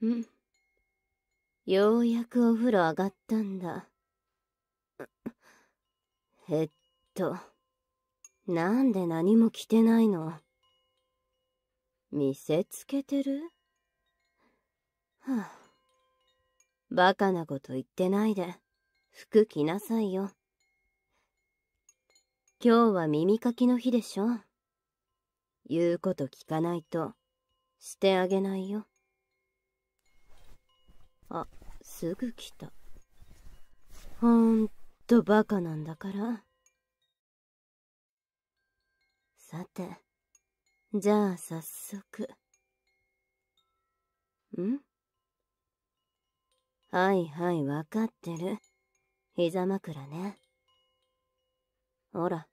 うんようやくお風呂上がったんだえっとなんで何も着てないの見せつけてるはあバカなこと言ってないで服着なさいよ今日は耳かきの日でしょ言うこと聞かないとしてあげないよあすぐ来たほんとバカなんだからさてじゃあ早速んはいはい分かってる膝枕ね。ほら。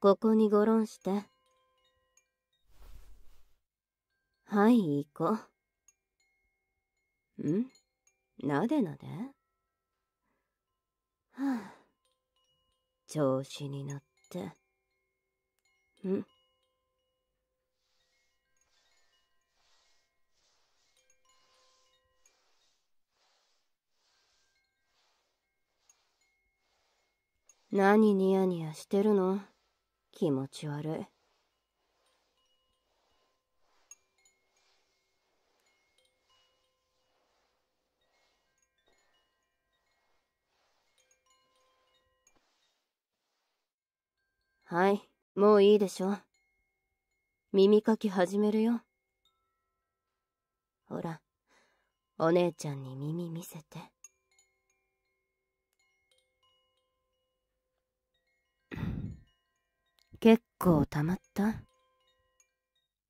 ここにごろんして。はい、行こう。んなでなではあ、調子に乗って。ん何ニヤニヤしてるの気持ち悪い。はい、もういいでしょ。耳かき始めるよ。ほら、お姉ちゃんに耳見せて。結構たまった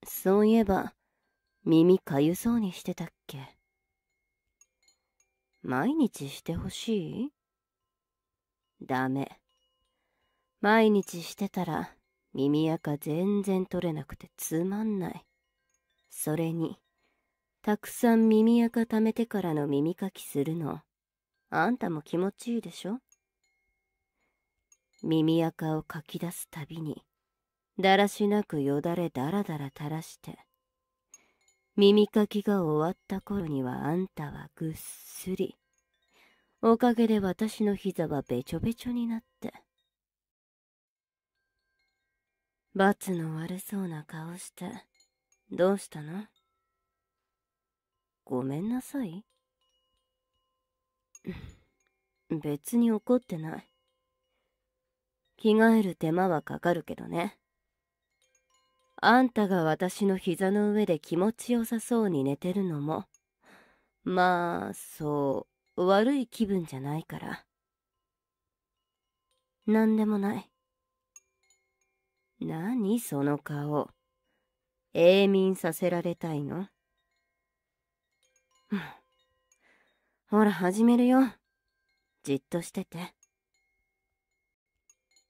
そういえば、耳かゆそうにしてたっけ毎日してほしいダメ。毎日してたら耳垢全然取れなくてつまんない。それに、たくさん耳垢ためてからの耳かきするの、あんたも気持ちいいでしょ耳垢をかき出すたびに、だらしなくよだれだらだら垂らして、耳かきが終わった頃にはあんたはぐっすりおかげで私の膝はべちょべちょになって。罰の悪そうな顔して、どうしたのごめんなさい別に怒ってない。着替える手間はかかるけどね。あんたが私の膝の上で気持ちよさそうに寝てるのも、まあ、そう、悪い気分じゃないから。なんでもない。何その顔。永眠させられたいのほら始めるよ。じっとしてて。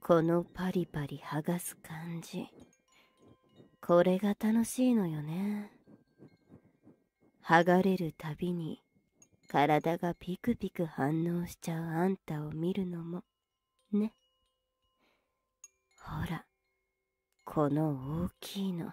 このパリパリ剥がす感じこれが楽しいのよね剥がれるたびに体がピクピク反応しちゃうあんたを見るのもねほらこの大きいの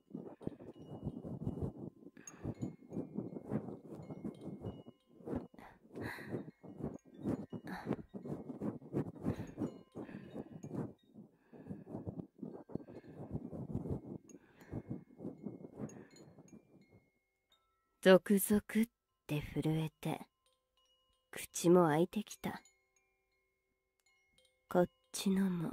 ゾクゾクって震えて口も開いてきたこっちのも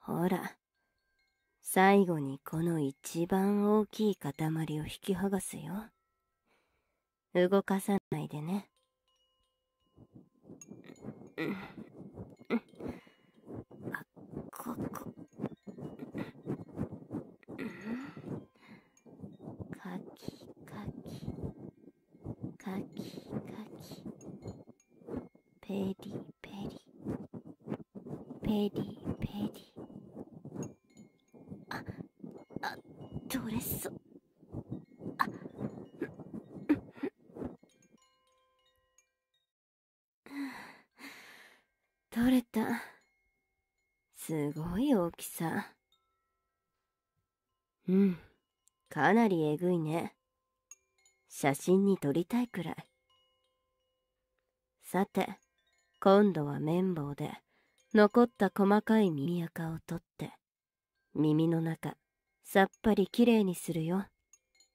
ほら、最後にこの一番大きい塊を引き剥がすよ。動かさないでね。ん、んはここかきかきかきかきペリペリペリペリああ取れそう取れた。すごい大きさ。うん、かなりえぐいね。写真に撮りたいくらい。さて、今度は綿棒で残った細かい耳垢を取って、耳の中、さっぱりきれいにするよ。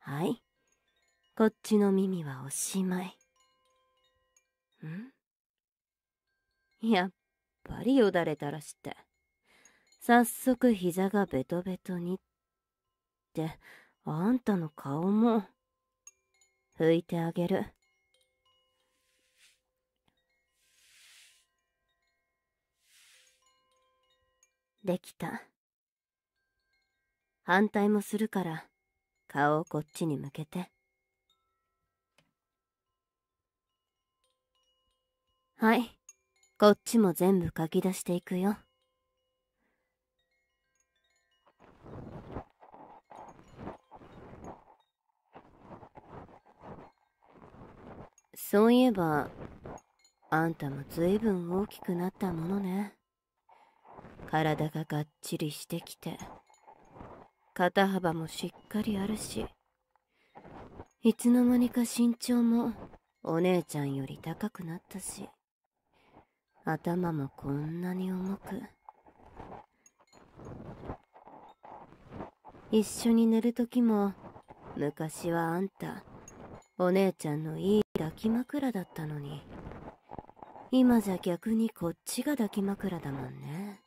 はい。こっちの耳はおしまい。んやっぱりよだれたらして。早速膝がベトベトにって、あんたの顔も、拭いてあげる。できた。反対もするから、顔をこっちに向けて。はい。こっちも全部書き出していくよ。そういえば、あんたも随分大きくなったものね。体ががっちりしてきて、肩幅もしっかりあるし。いつの間にか身長もお姉ちゃんより高くなったし頭もこんなに重く一緒に寝る時も昔はあんたお姉ちゃんのいい抱き枕だったのに今じゃ逆にこっちが抱き枕だもんね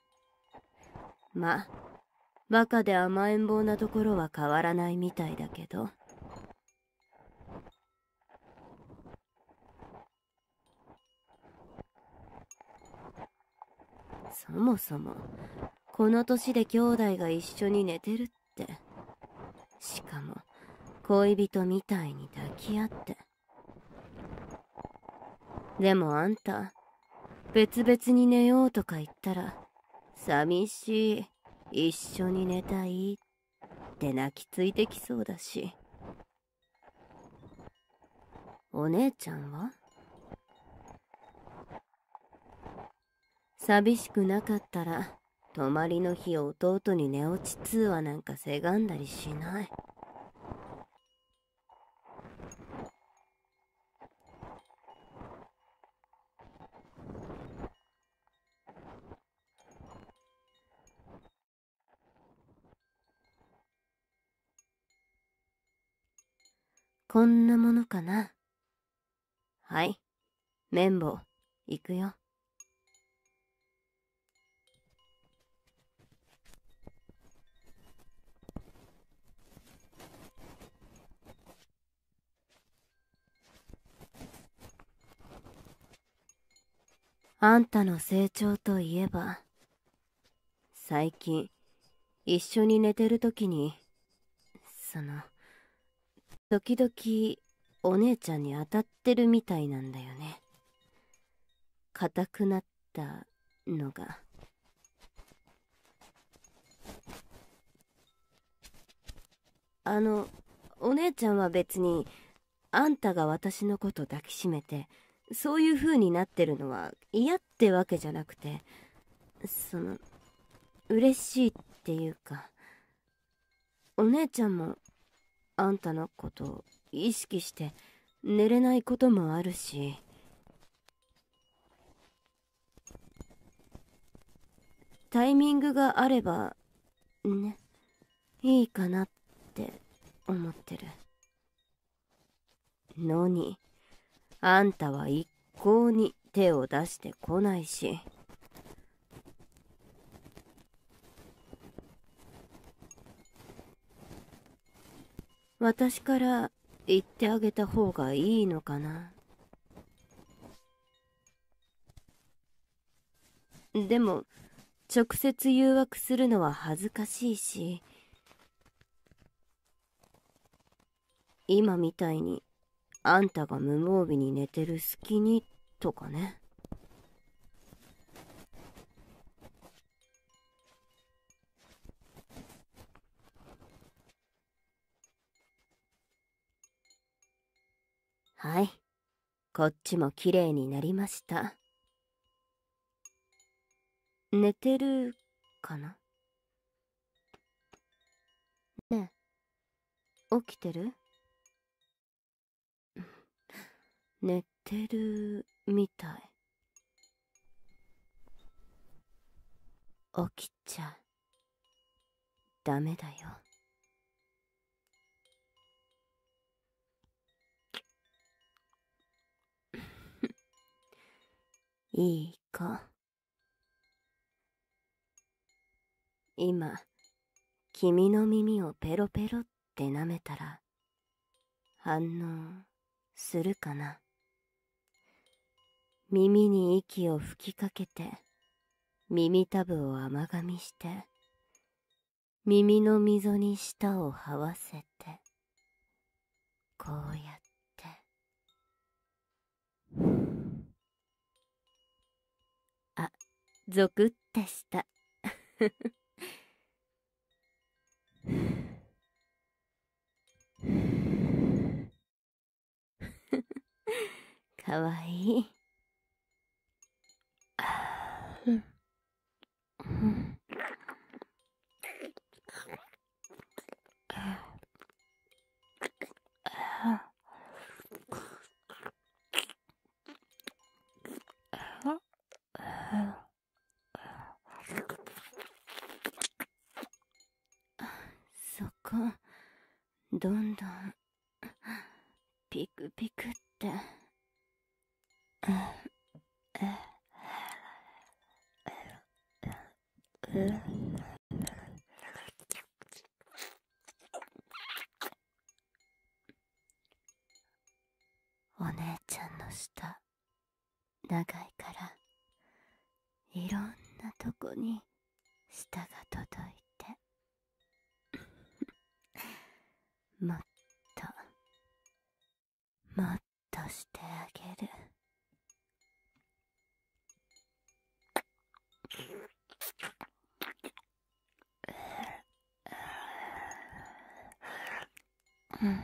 ま、バカで甘えん坊なところは変わらないみたいだけど。そもそも、この年で兄弟が一緒に寝てるって。しかも、恋人みたいに抱き合って。でもあんた、別々に寝ようとか言ったら寂しい一緒に寝たいって泣きついてきそうだしお姉ちゃんは寂しくなかったら泊まりの日弟に寝落ち通話なんかせがんだりしないこんなものかな。はい。綿棒、いくよ。あんたの成長といえば、最近、一緒に寝てる時に、その、時々、お姉ちゃんに当たってるみたいなんだよね。硬くなったのが。あのお姉ちゃんは別にあんたが私のこと抱きしめてそういう風になってるのは嫌ってわけじゃなくてその嬉しいっていうかお姉ちゃんもあんたのことを意識して寝れないこともあるしタイミングがあればねいいかなって思ってるのにあんたは一向に手を出してこないし私から言ってあげた方がいいのかな。でも、直接誘惑するのは恥ずかしいし、今みたいに、あんたが無防備に寝てる隙に、とかね。はい。こっちも綺麗になりました。寝てるかなねえ、起きてる 寝てるみたい。起きちゃう。ダメだよいい子今君の耳をペロペロって舐めたら反応するかな耳に息を吹きかけて、耳たぶを甘噛みして、耳の溝に舌を這わせて、こうやって。あ、ゾクってした。かわいい。そこ、どんどん、ピクピクって。お姉ちゃんの舌、長いから、いろんなとこに、舌が届いて もっともっとしてあげるうん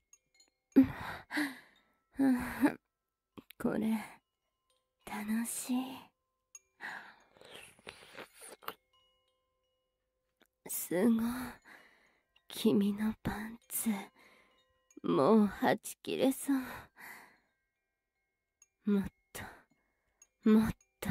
これ楽しいすごい君のパンツもうはちきれそうもっともっと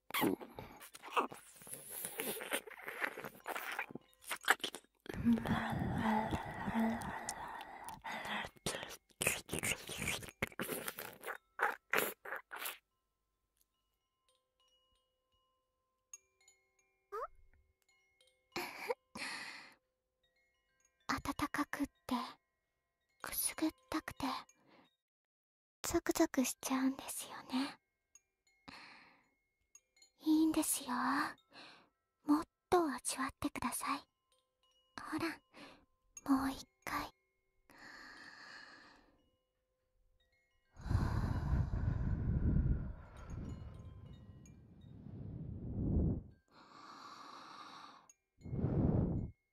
暖 かくってくすぐったくてゾクゾクしちゃうんですよねいいんですよもっと味わってくださいほらもう一回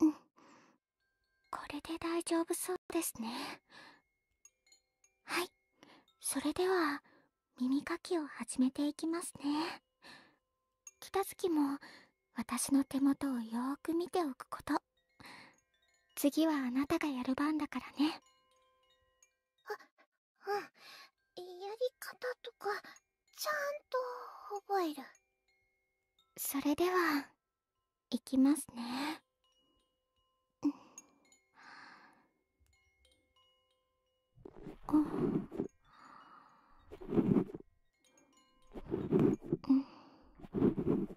うんこれで大丈夫そうですねはいそれでは耳かきを始めていきますね北月も私の手元をよーく見ておくこと次はあなたがやる番だからねあ、うん。やり方とか、ちゃんと覚える。それでは、いきますね。うん。うん。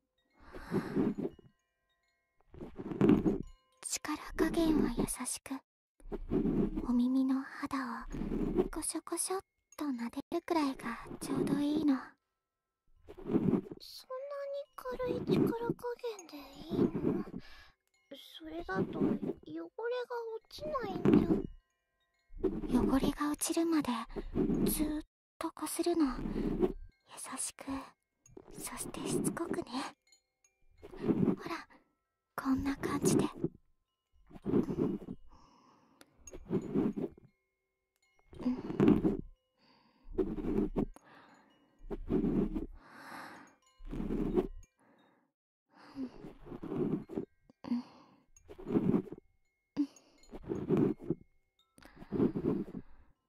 力加減は優しくお耳の肌をこしょこしょっと撫でるくらいがちょうどいいのそんなに軽い力加減でいいのそれだと汚れが落ちないんじゃ汚れが落ちるまでずっとこするの優しくそしてしつこくねほらこんな感じで。んん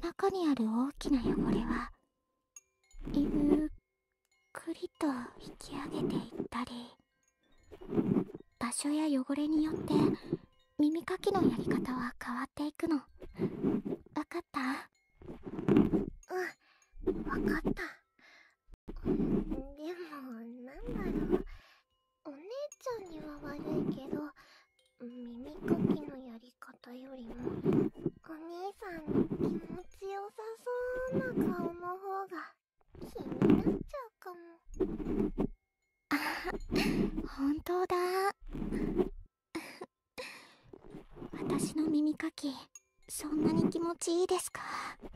中にある大きな汚れはゆっくりと引き上げていったり場所や汚れによって耳かきのやり方は変わっていくのわかったうんわかったでもなんだろうお姉ちゃんには悪いけど耳かきのやり方よりもお兄さんの気持ちよさそうな顔の方が気になっちゃうかも。あ、本当だ私の耳かきそんなに気持ちいいですか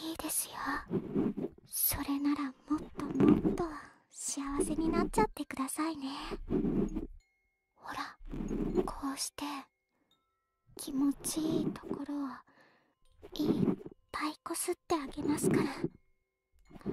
いいですよそれならもっともっと幸せになっちゃってくださいねほらこうして気持ちいいところをいっぱいこすってあげますからうん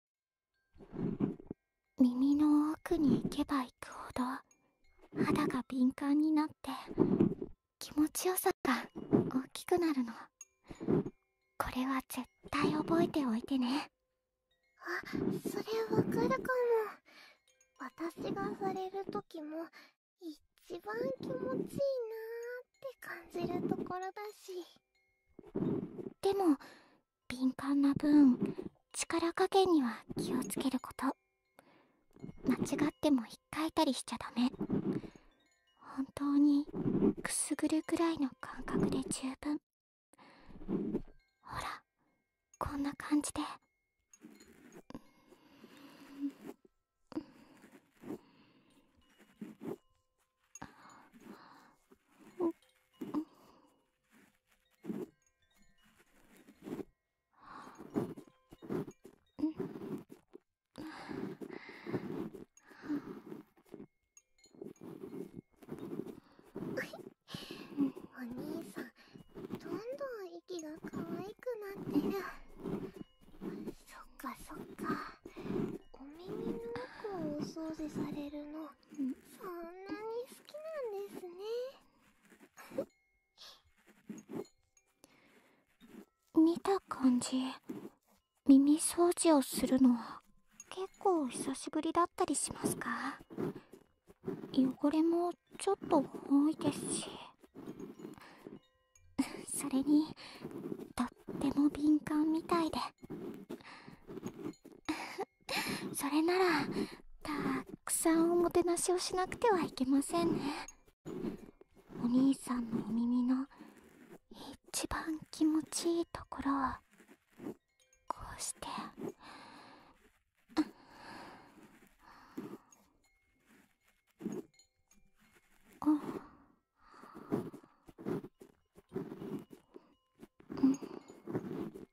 耳の奥に行けば行くほど肌が敏感になって気持ちよさが大きくなるのこれは絶対覚えておいてねあそれわかるかも私がされる時も一番気持ちいいなーって感じるところだしでも敏感な分力加減には気をつけること間違ってもひっかいたりしちゃダメ本当にくすぐるくらいの感覚で十分ほらこんな感じで。んお兄さんどんどん息が可愛くなってるそっかそっかお耳の奥をお掃除されるのそんなに好きなんですね見た感じ耳掃除をするの結構久しぶりだったりしますか汚れもちょっと多いですし それにとっても敏感みたいで それならたくさんおもてなしをしなくてはいけませんねお兄さんのお耳の一番気持ちいいところをこうしてんうん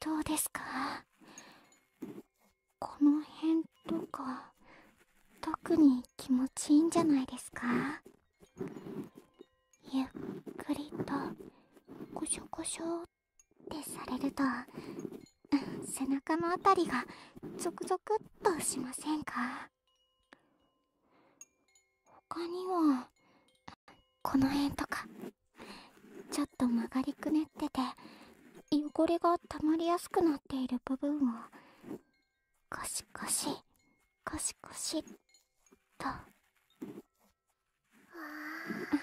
どうですかこの辺とか特に気持ちいいんじゃないですかゆっくりとこしょこしょってされると背中のあたりがゾクゾクっとしませんか他にはこの辺とかちょっと曲がりくねってて汚れがたまりやすくなっている部分をコシコシコシコシっとああ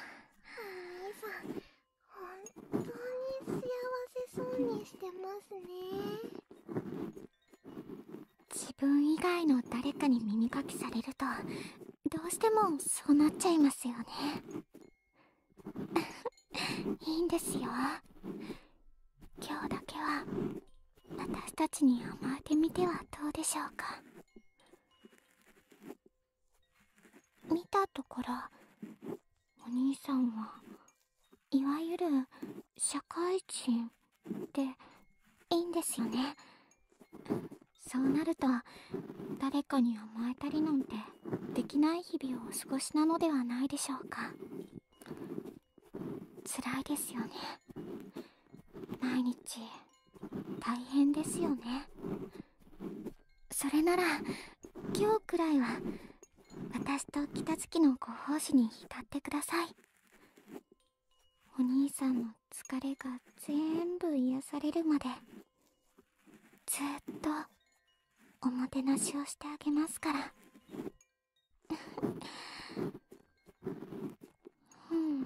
いさん本当に幸せそうにしてますね自分以外の誰かに耳かきされるとどうしてもそうなっちゃいますよね いいんですよ今日だけは私たちに甘えてみてはどうでしょうか見たところお兄さんはいわゆる社会人っていいんですよねそうなると誰かに甘えたりなんてできない日々をお過ごしなのではないでしょうか辛いですよね毎日大変ですよねそれなら今日くらいは私と北月のご奉仕に浸ってくださいお兄さんの疲れが全部癒されるまでずっとおもてなしをしてあげますからうん、うん、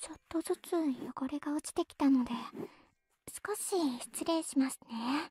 ちょっとずつ汚れが落ちてきたので少し失礼しますね。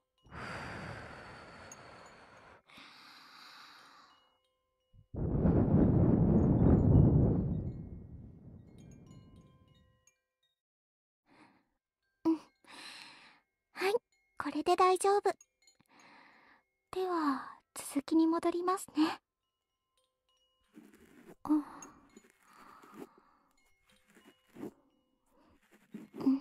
はい、これで大丈夫では続きに戻りますねうん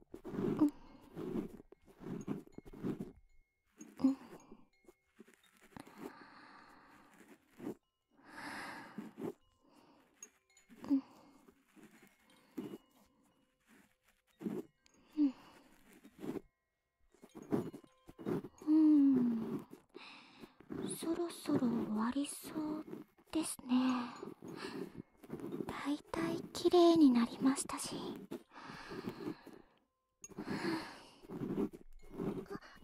うんうんうんうん、うん、そろそろ終わりそうですね大体綺麗になりましたし。あ、じゃ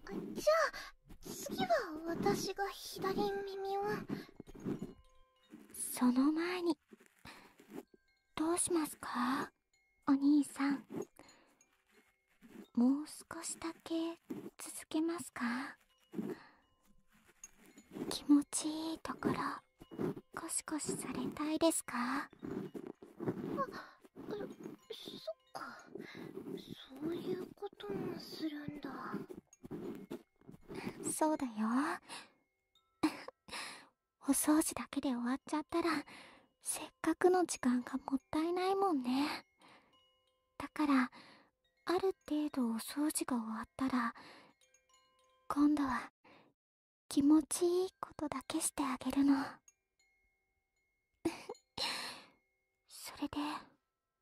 あ、次は私が左耳を。その前に、どうしますかお兄さん。もう少しだけ続けますか気持ちいいところコシコシされたいですかあそっかそういうこともするんだそうだよ お掃除だけで終わっちゃったらせっかくの時間がもったいないもんねだからある程度お掃除が終わったら今度は気持ちいいことだけしてあげるのそれで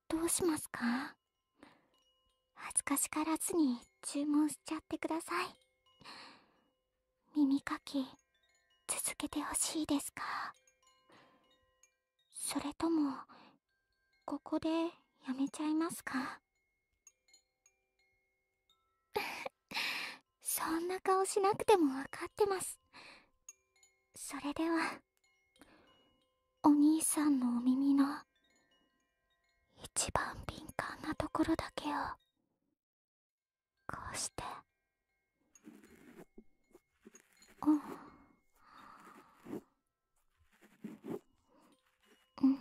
どうしますか恥ずかしがらずに注文しちゃってください耳かき続けてほしいですかそれともここでやめちゃいますか そんな顔しなくてもわかってますそれではお兄さんのお耳の一番敏感なところだけをこうしてうん、うん、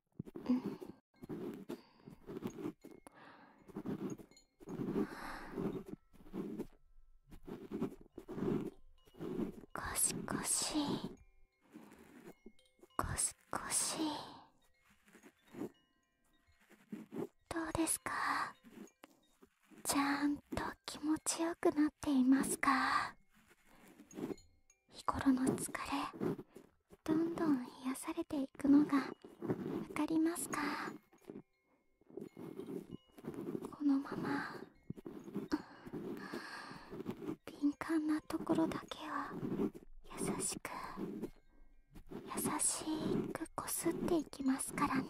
ゴシゴシゴシゴシどうですかちゃんと気持ちよくなっていますか日頃の疲れどんどん癒されていくのがわかりますかこのまま敏感なところだけを優しく優しくこすっていきますからね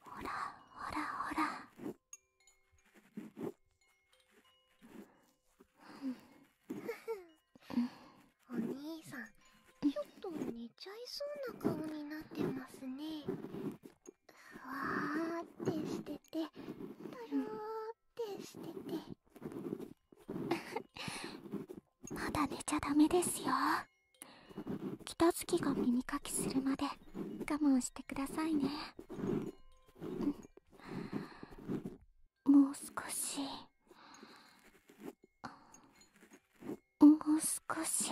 ほらほらほら お兄さんちょっと寝ちゃいそうな顔になってますねふわーってしててとろーってしてて まだ寝ちゃダメですよ北月が耳かきするまで我慢してくださいねもう少しもう少し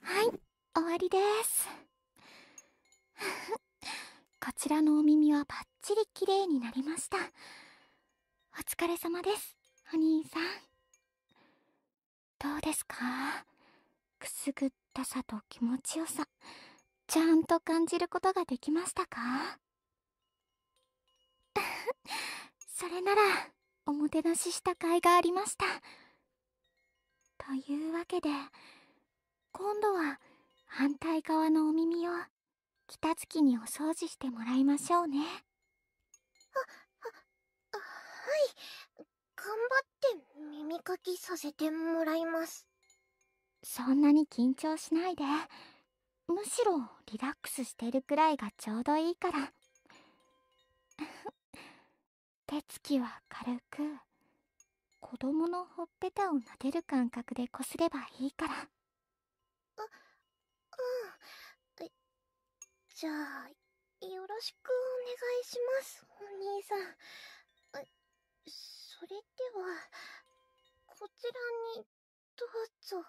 はい終わりです。こちらのお耳はバッチリ綺麗になりましたお疲れ様ですお兄さんどうですかくすぐったさと気持ちよさちゃんと感じることができましたか それならおもてなしした甲斐がありましたというわけで今度は反対側のお耳を北月にお掃除してもらいましょうねあははい頑張って耳かきさせてもらいますそんなに緊張しないでむしろリラックスしてるくらいがちょうどいいから 手つきは軽く子供のほっぺたを撫でる感覚でこすればいいからあうんじゃあよろしくお願いしますお兄さんそれではこちらにどうぞ